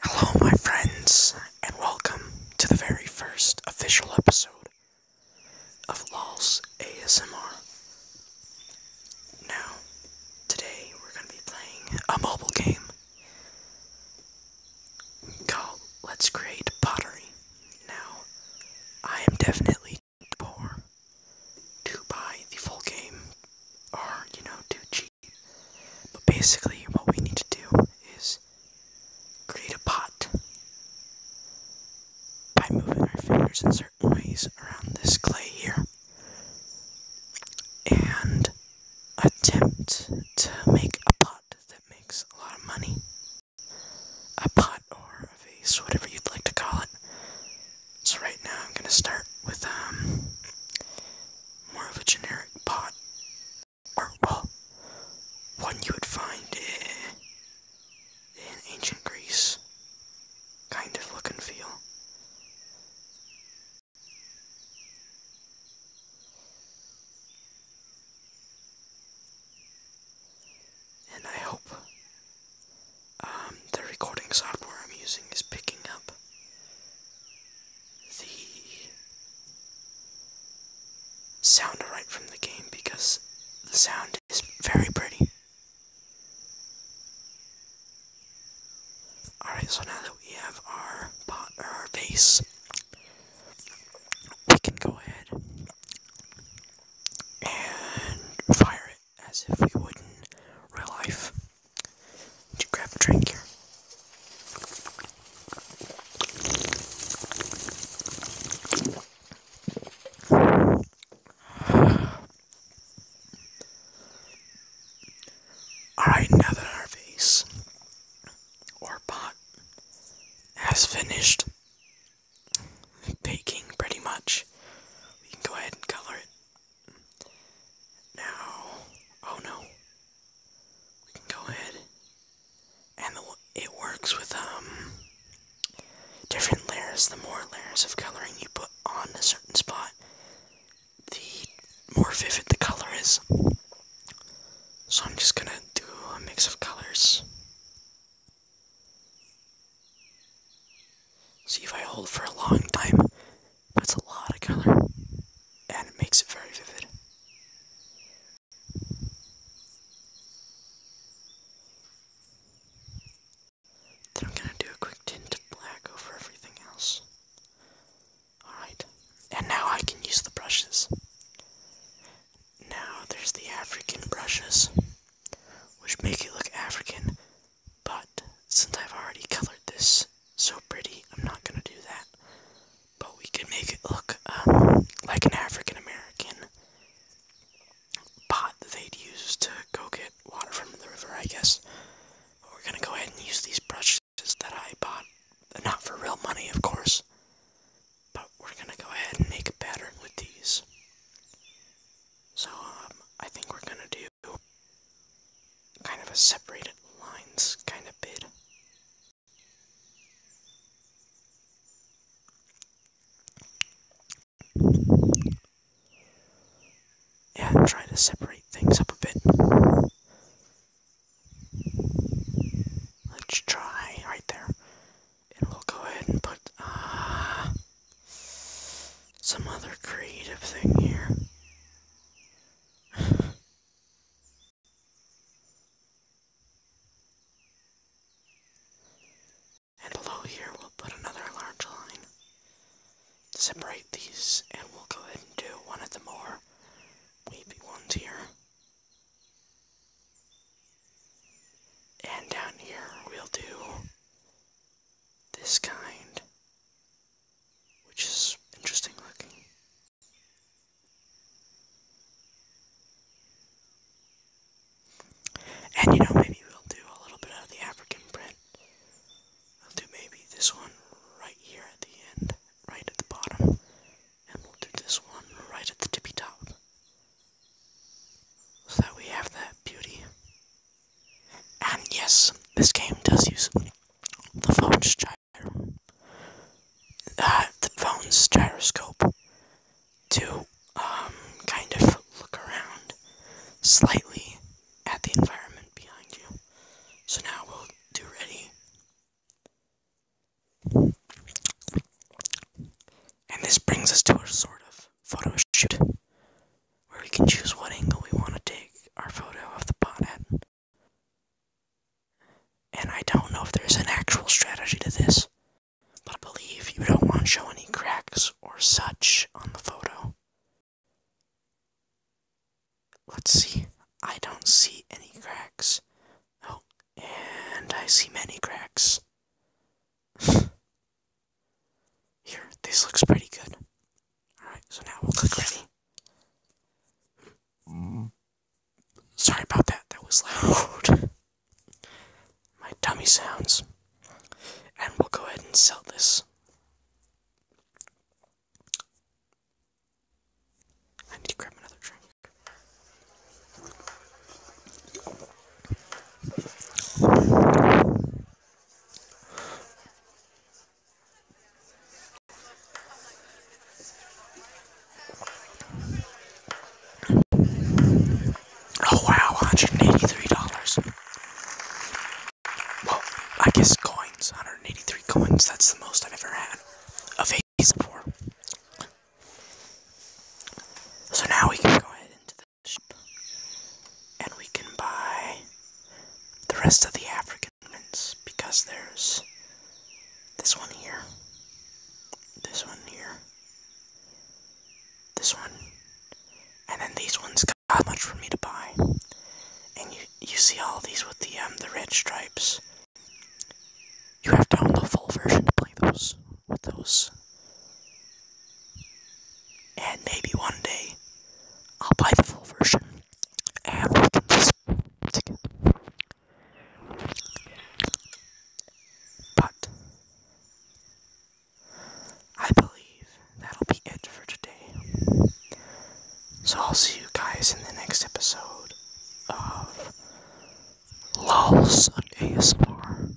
Hello, my friends, and welcome to the very first official episode of LOL's ASMR. Now, today we're going to be playing a mobile game called Let's Create Pottery. Now, I am definitely too poor to buy the full game or, you know, too cheat. But basically, what we need to do is create a pot by moving our fingers in certain ways around this clay here and attempt to make a pot that makes a lot of money. A pot or a vase, whatever you'd like to call it. So, right now, I'm going to start with um, more of a generic pot, or well, one you would find in ancient Greece, kind of look and feel. And I hope um, the recording software I'm using is picking up the sound right from the game because the sound is very pretty. Alright, so now that we have our pot or our vase, we can go ahead and fire it as if we would in real life. Did you grab a drink here? Alright, now that our vase or pot has finished baking pretty much, we can go ahead and color it. Now, oh no, we can go ahead, and it works with um different layers. The more layers of coloring you put on a certain spot, the more vivid the color is. So I'm just gonna do a mix of colors. See if I hold for a long time, but it's a lot of color and it makes it very vivid. Then I'm gonna do a quick tint black over everything else. Alright, and now I can use the brushes. Now there's the African brushes, which make it look African but since I've already colored this so pretty, I'm not gonna do that. But we can make it look um, like an African American pot that they'd use to go get water from the river, I guess. we're gonna go ahead and use these brushes that I bought, not for real money, of course. But we're gonna go ahead and make a pattern with these. So um, I think we're gonna do kind of a separated lines kind of bit. Yeah, I'm trying to separate things up a bit. Let's try right there. And we'll go ahead and put, uh, some other creative thing here. and below here we'll put another large line. Separate these and we'll go ahead and do one of the more wavy ones here. And down here we'll do this kind, which is interesting looking. And you know, maybe we'll do a little bit of the African print. i will do maybe this one right here at the end, right at the bottom, and we'll do this one right at the tippy top. So that we have that beauty and yes, this game does use the uh, phone's gyroscope to um, kind of look around slightly at the environment behind you. So now we'll do ready. And this brings us to a sort of photo shoot where we can choose what angle we want to take our photo of the pot at. And I don't know if there's an actual strategy to this, but I believe you don't want to show any cracks or such on the photo. Let's see. I don't see any cracks. Oh, and I see many cracks. Here, this looks pretty good. Alright, so now we'll click ready. Sorry about that, that was loud. My dummy sounds. And we'll go ahead and sell this. I need to grab another drink. Oh wow, $183. Well, I guess coins, 183 coins, that's the most I've ever had of 84. So now we can go ahead into the and we can buy the rest of the African ones because there's this one here, this one here, this one, and then these ones How much for me to buy. And you you see all these with the um, the red stripes. You have to own the full version to play those with those. And maybe one day I'll buy the full version and we can just together. But I believe that'll be it for today. So I'll see you guys in the next episode of Lulz on ASMR.